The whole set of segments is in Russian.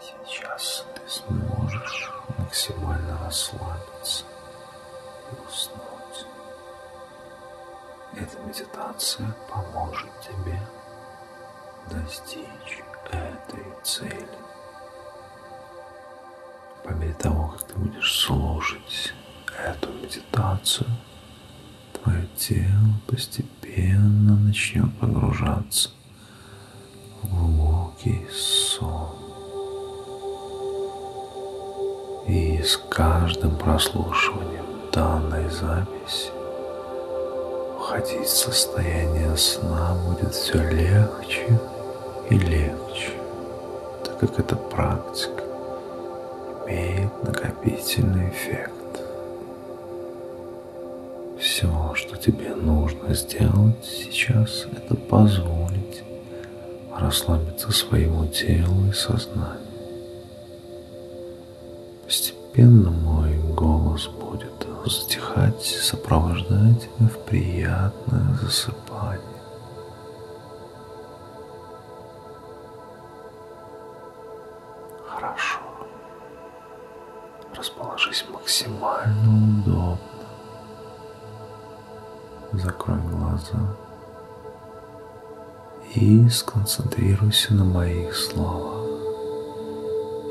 Сейчас ты сможешь максимально расслабиться и уснуть. Эта медитация поможет тебе достичь этой цели. По мере того, как ты будешь слушать эту медитацию, твое тело постепенно начнет погружаться в глубокий сон. И с каждым прослушиванием данной записи входить в состояние сна будет все легче и легче так как эта практика имеет накопительный эффект. Все, что тебе нужно сделать сейчас, это позволить расслабиться своему телу и сознанию. Постепенно мой голос будет затихать, сопровождая тебя в приятное засыпание. Хорошо. Расположись максимально удобно. Закрой глаза и сконцентрируйся на моих словах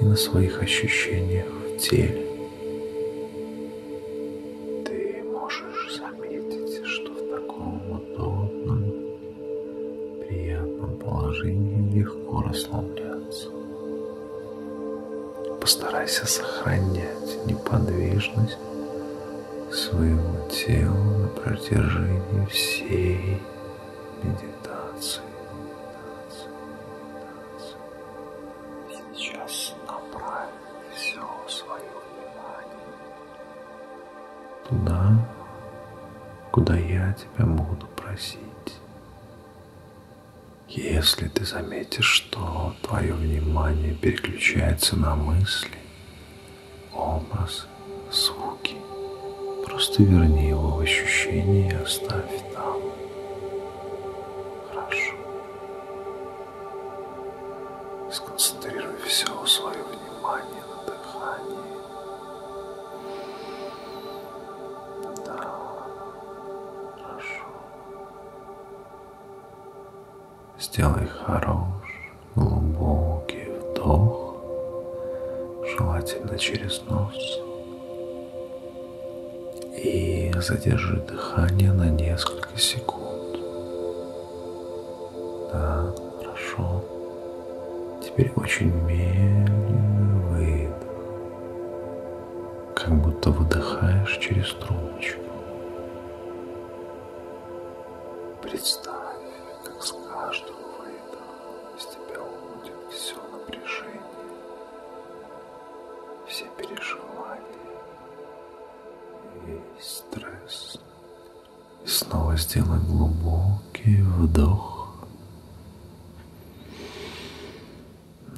и на своих ощущениях в теле. Ты можешь заметить, что в таком удобном, приятном положении легко расслабляться. Постарайся сохранять неподвижность своего тела на протяжении всей медитации. медитации, медитации. Сейчас направь все свое внимание туда, куда я тебя буду просить. Если ты заметишь, что твое внимание переключается на мысли, образ, звуки, просто верни его в ощущение и оставь там. Хорошо. Сконцентрируй все свое внимание на дыхании. Да, хорошо. Сделай хороший, глубокий вдох, желательно через нос. И задержи задерживает дыхание на несколько секунд. Да, хорошо. Теперь очень медленно выдох. Как будто выдыхаешь через трубочку. Представь, как с каждым выдохом из тебя уходит все напряжение, все переживания, и стресс. И снова сделай глубокий вдох.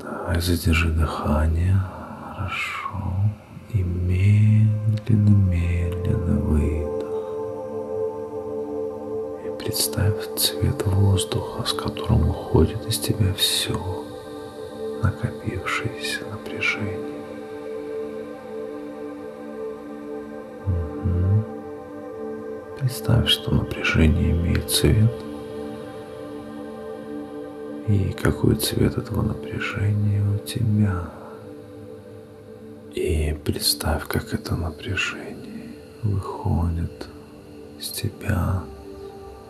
Давай задержи дыхание. Хорошо. И медленно, медленно выдох. И представь цвет воздуха, с которым уходит из тебя все накопившееся напряжение. Угу. Представь, что напряжение имеет цвет. И какой цвет этого напряжения у тебя? И представь, как это напряжение выходит с тебя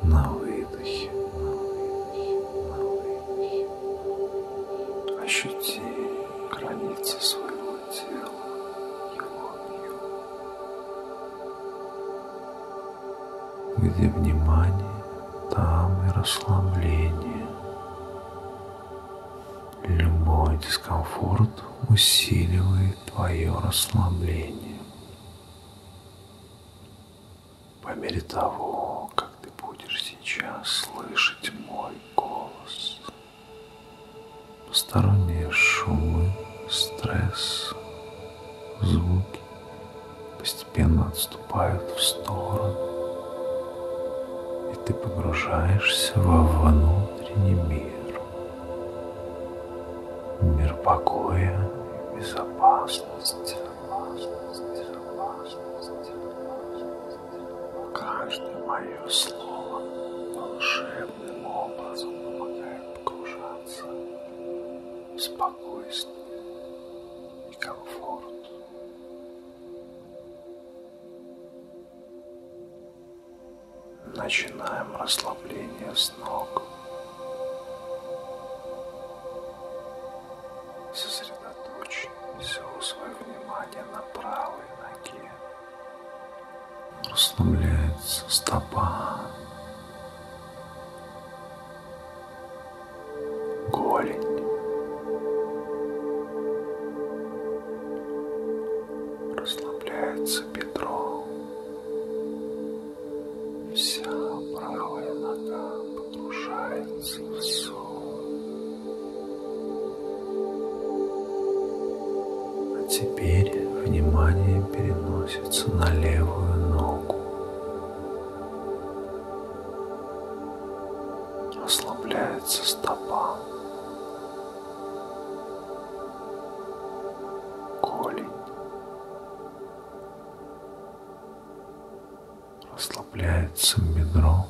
на выдохе. Ощути границы своего тела, его объем. Где внимание, там и расслабление. Любой дискомфорт усиливает твое расслабление по мере того, как ты будешь сейчас слышать мой голос. Посторонние шумы, стресс, звуки постепенно отступают в сторону, и ты погружаешься во внутренний мир, мир покоя и безопасности. Каждое мое слово волшебным образом помогает погружаться в спокойствие и комфорт. Начинаем расслабление с ног. Сосредоточь все свое внимание на правой ноге. Расслабляется стопа. Голень. Расслабляется бедро. Вся правая нога погружается в сон. А теперь внимание переносится на левую ногу. Расслабляется стопа. Голень расслабляется бедро,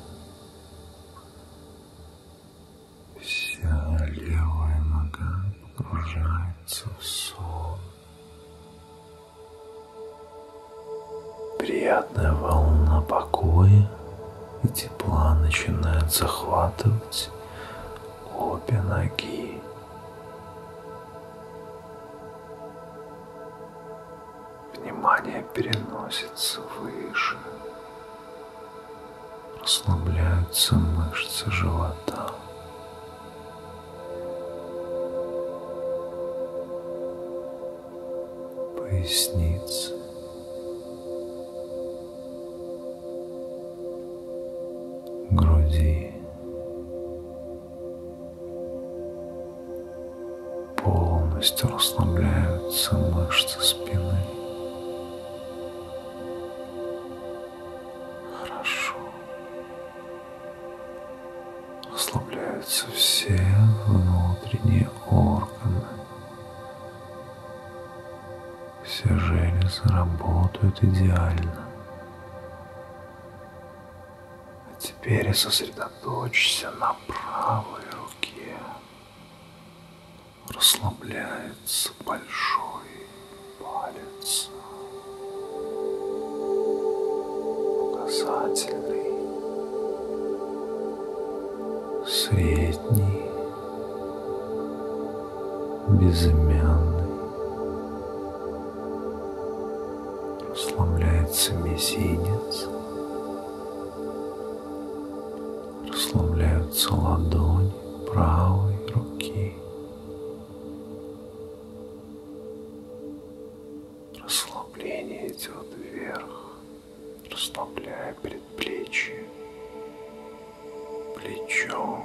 вся левая нога погружается в сон. Приятная волна покоя и тепла начинает захватывать обе ноги. Внимание переносится выше. Расслабляются мышцы живота. Поясница. груди. Полностью расслабляются мышцы спины. Хорошо. Расслабляются все внутренние органы. Все железы работают идеально. А теперь сосредоточься на правой руке. Расслабляется большой палец. Указательный. Средний. Безымянный Расслабляется мизинец. Расслабляются ладони правой руки. Расслабление идет вверх, расслабляя предплечье, плечо,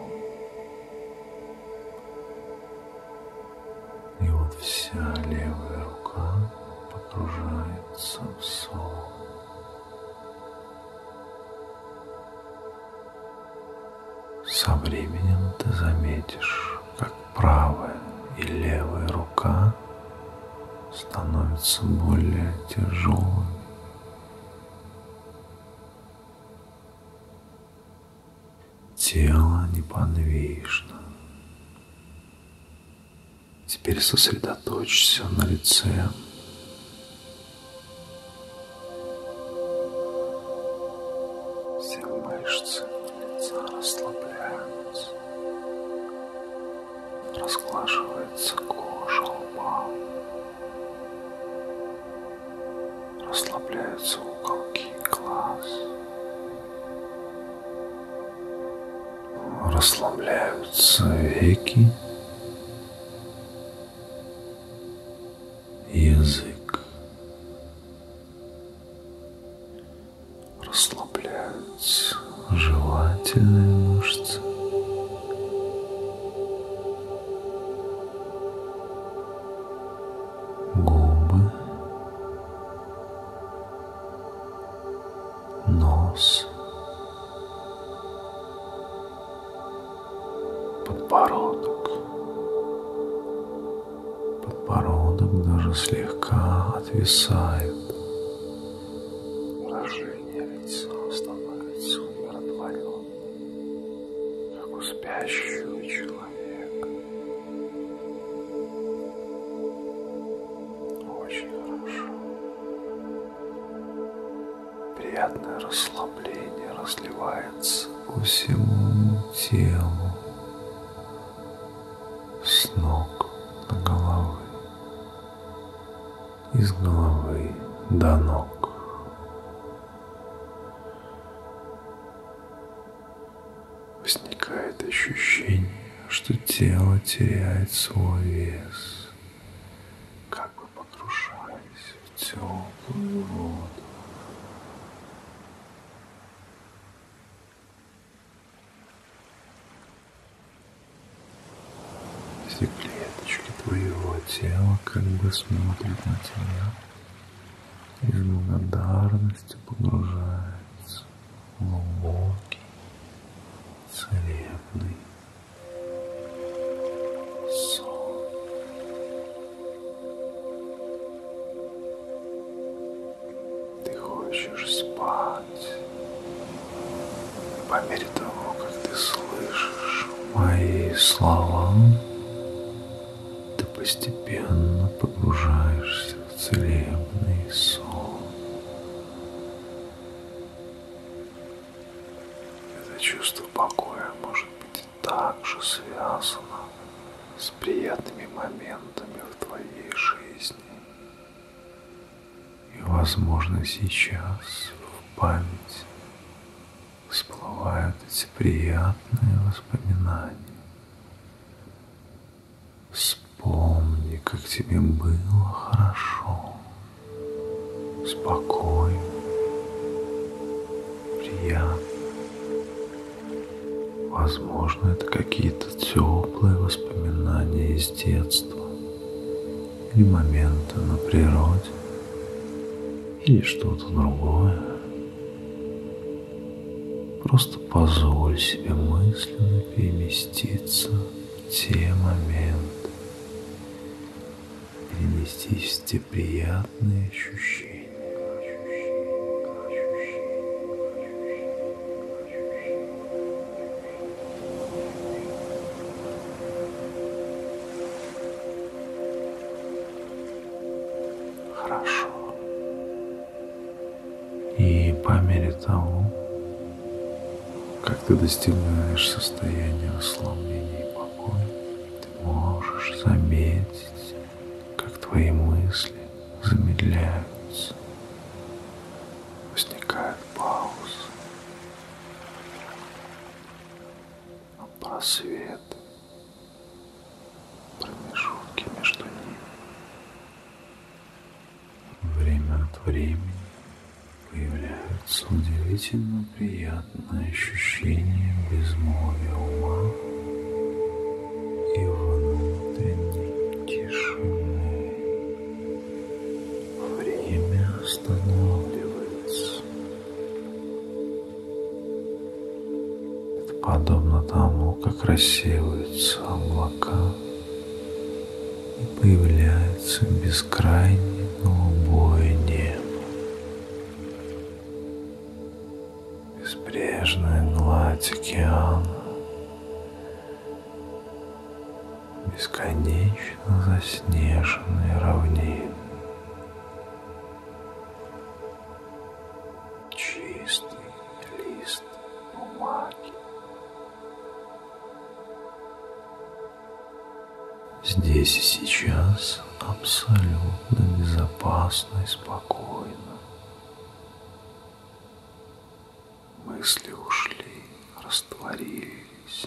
и вот вся левая рука погружается в солнце. Со временем ты заметишь, как правая и левая рука становятся более тяжелыми тело неподвижно. Теперь сосредоточься на лице. Все мышцы лица расслабляются. Расглаживается кожа лба. Расслабляются уголки глаз. Расслабляются веки. Язык. Расслабляются желательные мышцы губы, нос, подбородок. Подбородок даже слегка отвисает. Выражение лица становится умиротворенным, как у спящего человека. Очень хорошо. Приятное расслабление разливается по всему телу с ног до головы, из головы до ног возникает ощущение, что тело теряет свой вес, как бы погружаясь в теплую воду. Все клеточки твоего тела как бы смотрят на тебя из благодарности погружается в глубокий, целебный сон. Ты хочешь спать по мере того, как ты слышишь мои слова, ты постепенно погружаешься в целебный сон. Это чувство покоя может быть также связано с приятными моментами в твоей жизни. И, возможно, сейчас в память всплывают эти приятные воспоминания Вспомни, как тебе было хорошо, спокойно, приятно. Возможно, это какие-то теплые воспоминания из детства или моменты на природе или что-то другое. Просто позволь себе мысленно переместиться в те моменты, переместись в те приятные ощущения. хорошо. И по мере того, как ты достигаешь состояния расслабления и покоя, ты можешь заметить, как твои мысли замедляются, возникает пауза, а просвет промежутки между ними. Время от времени появляются удивительно приятные ощущения безмолвия ума и внутренней тишины. Время останавливается подобно тому, как рассеиваются облака и появляется бескрайнее голубое небо, безбрежная гладь океана, бесконечно заснеженные равнины чистый лист бумаги. Здесь и сейчас абсолютно безопасно и спокойно. Мысли ушли, растворились.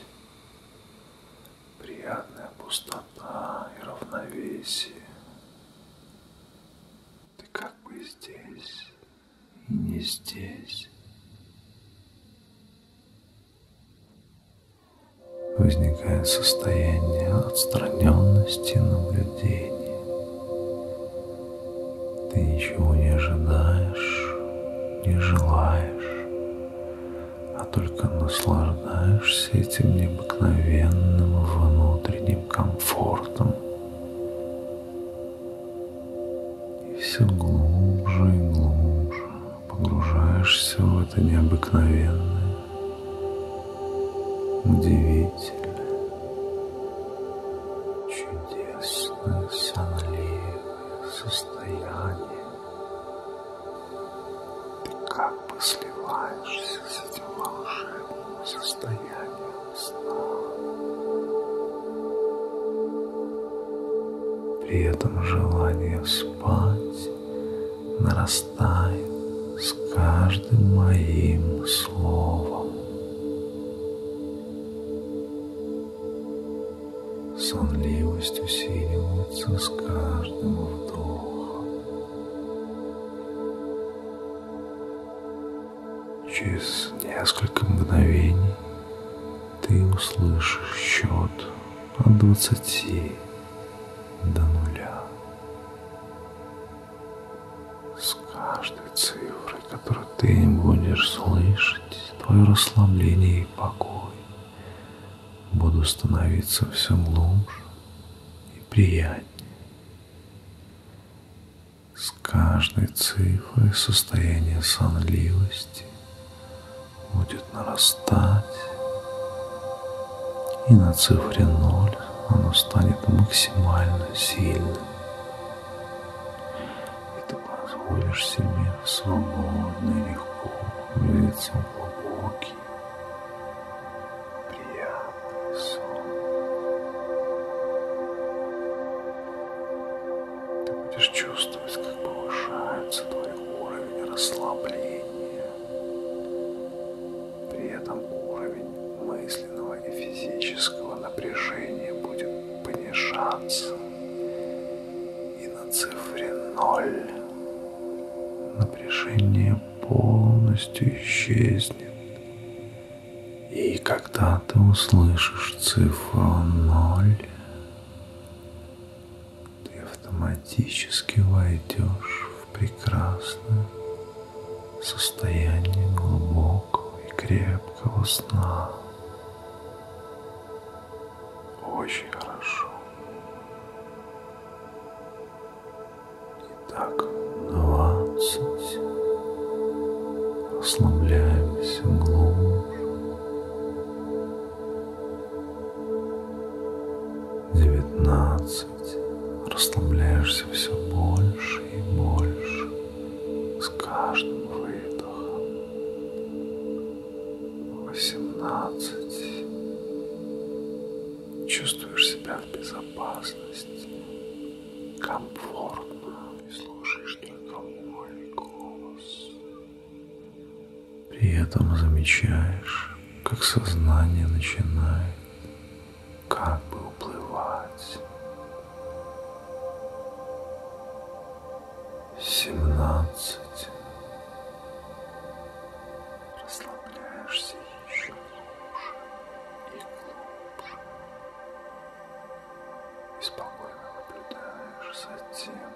Приятная пустота и равновесие. Ты как бы здесь и не здесь. Возникает состояние отстраненности наблюдения. Ты ничего не ожидаешь, не желаешь, а только наслаждаешься этим необыкновенным внутренним таким комфортом. И все глубже и глубже погружаешься в это необыкновенное, удивительное, чудесное, сонливое состояние. Ты как бы сливаешься с есть волшебное состояние сна. При этом желание спать нарастает с каждым моим словом. Сонливость усиливается с каждым вдохом. Через несколько мгновений ты услышишь счет от двадцати до нуля. С каждой цифрой, которую ты будешь слышать, твое расслабление и покой будут становиться все глубже и приятнее. С каждой цифрой состояние сонливости будет нарастать, и на цифре 0 оно станет максимально сильным. И ты позволишь себе свободно и легко двигаться в глубокий, приятный сон. Ты будешь чувствовать, как повышается твой уровень расслабления. При этом уровень мысленного и физического напряжения будет понижаться и на цифре 0 напряжение полностью исчезнет. И когда ты услышишь цифру 0, ты автоматически войдешь в прекрасное состояние глубокого и крепкого сна. Очень хорошо. Итак, двадцать. Расслабляемся глубже. Девятнадцать. Расслабляешься все больше и больше с каждым выдохом. Восемнадцать. Чувствуешь себя в безопасности есть комфортно и слушаешь только мой голос. При этом замечаешь, как сознание начинает как бы уплывать. 17 расслабляешься еще глубже и глубже. И спокойно наблюдаешь за тем,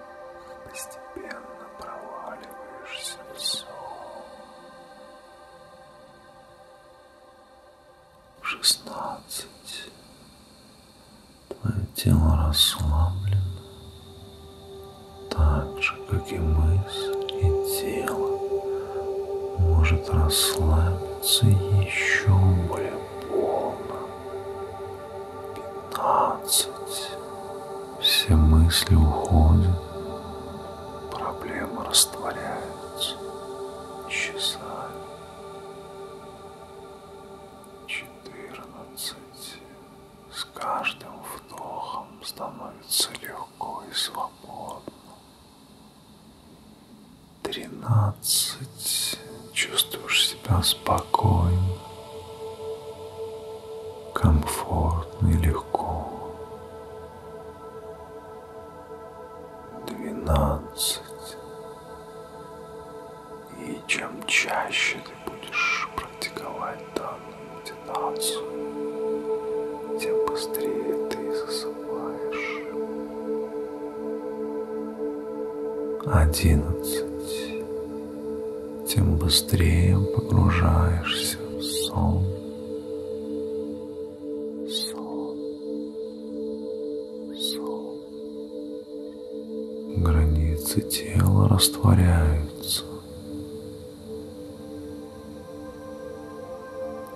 как постепенно проваливаешься в сон. Шестнадцать. Твое тело расслаблено, так же, как и мы вниз, и тело может расслабиться еще более полно. 15. Все мысли уходят, проблемы растворяются, исчезают. 14. С каждым вдохом становится легко и свободно тринадцать. Чувствуешь себя спокойно, комфортно и легко. Двенадцать. И чем чаще ты будешь практиковать данную прокрастинацию, тем быстрее ты засыпаешь. Одиннадцать. Тем быстрее погружаешься в сон. Сон. Сон. Границы тела растворяются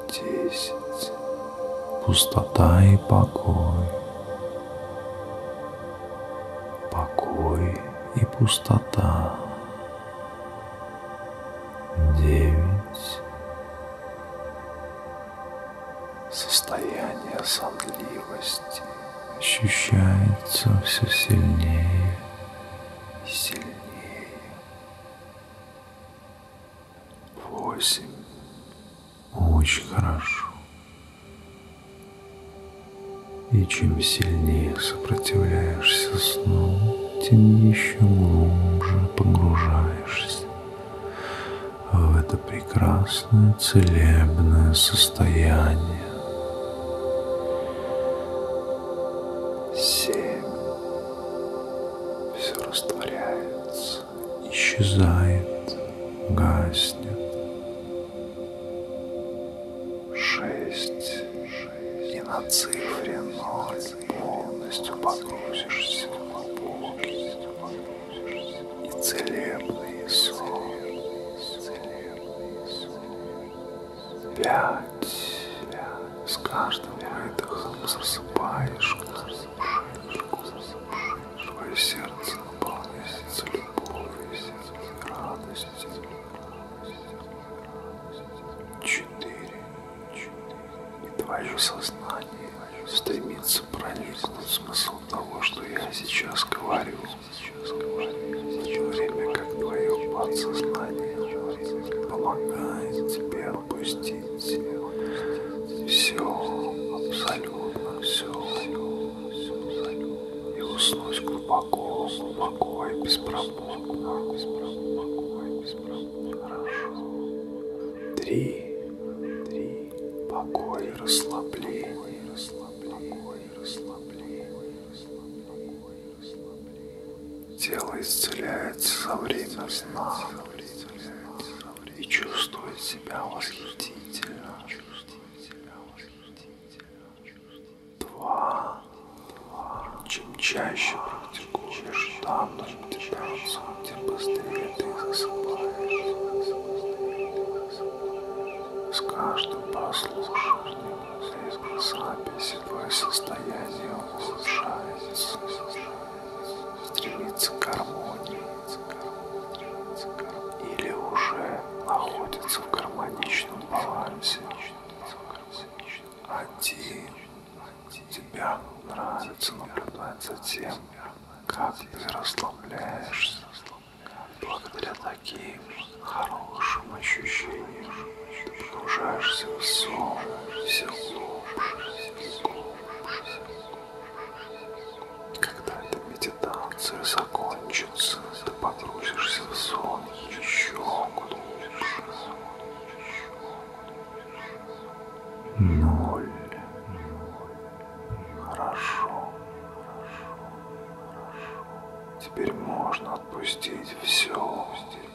десять. Пустота и покой. Покой и пустота. Девять. Состояние сонливости ощущается все сильнее и сильнее восемь. Очень хорошо. И чем сильнее сопротивляешься сну, тем еще глубже погружаешься в это прекрасное целебное состояние. Семь все растворяется, исчезает, гаснет. Шесть, и на цифре ноль полностью погрузишься в глубокий и целебный сон пять. С каждым выдохом засыпаешь душечку, твое сердце наполняется любовью, радостью. Четыре. И твое сознание стремится проникнуть в смысл того, что я сейчас говорю, в то время как твое подсознание Помогайте отпустить все, абсолютно все, и уснуть глубоко, глубоко и беспробудно, глубоко и беспробудно. Хорошо. Три, три, покой и расслабление, покой и расслабление, покой и расслабление, покой и расслабление. Тело исцеляется со время сна и чувствует себя восхитительно. Два. Чем чаще практикуешь данную медитацию, тем быстрее ты засыпаешь. С каждым прослушиванием запись волевое состояние улучшается, стремится к гармонии или уже находится в гармоничном балансе. Один тебя нравится наблюдать за тем, как ты расслабляешься благодаря таким хорошим ощущениям погружаешься в сон, все глубже, Когда эта медитация закончится, ты погрузишься в сон еще глубже. Ноль. Хорошо. Теперь можно отпустить все. Отпустить.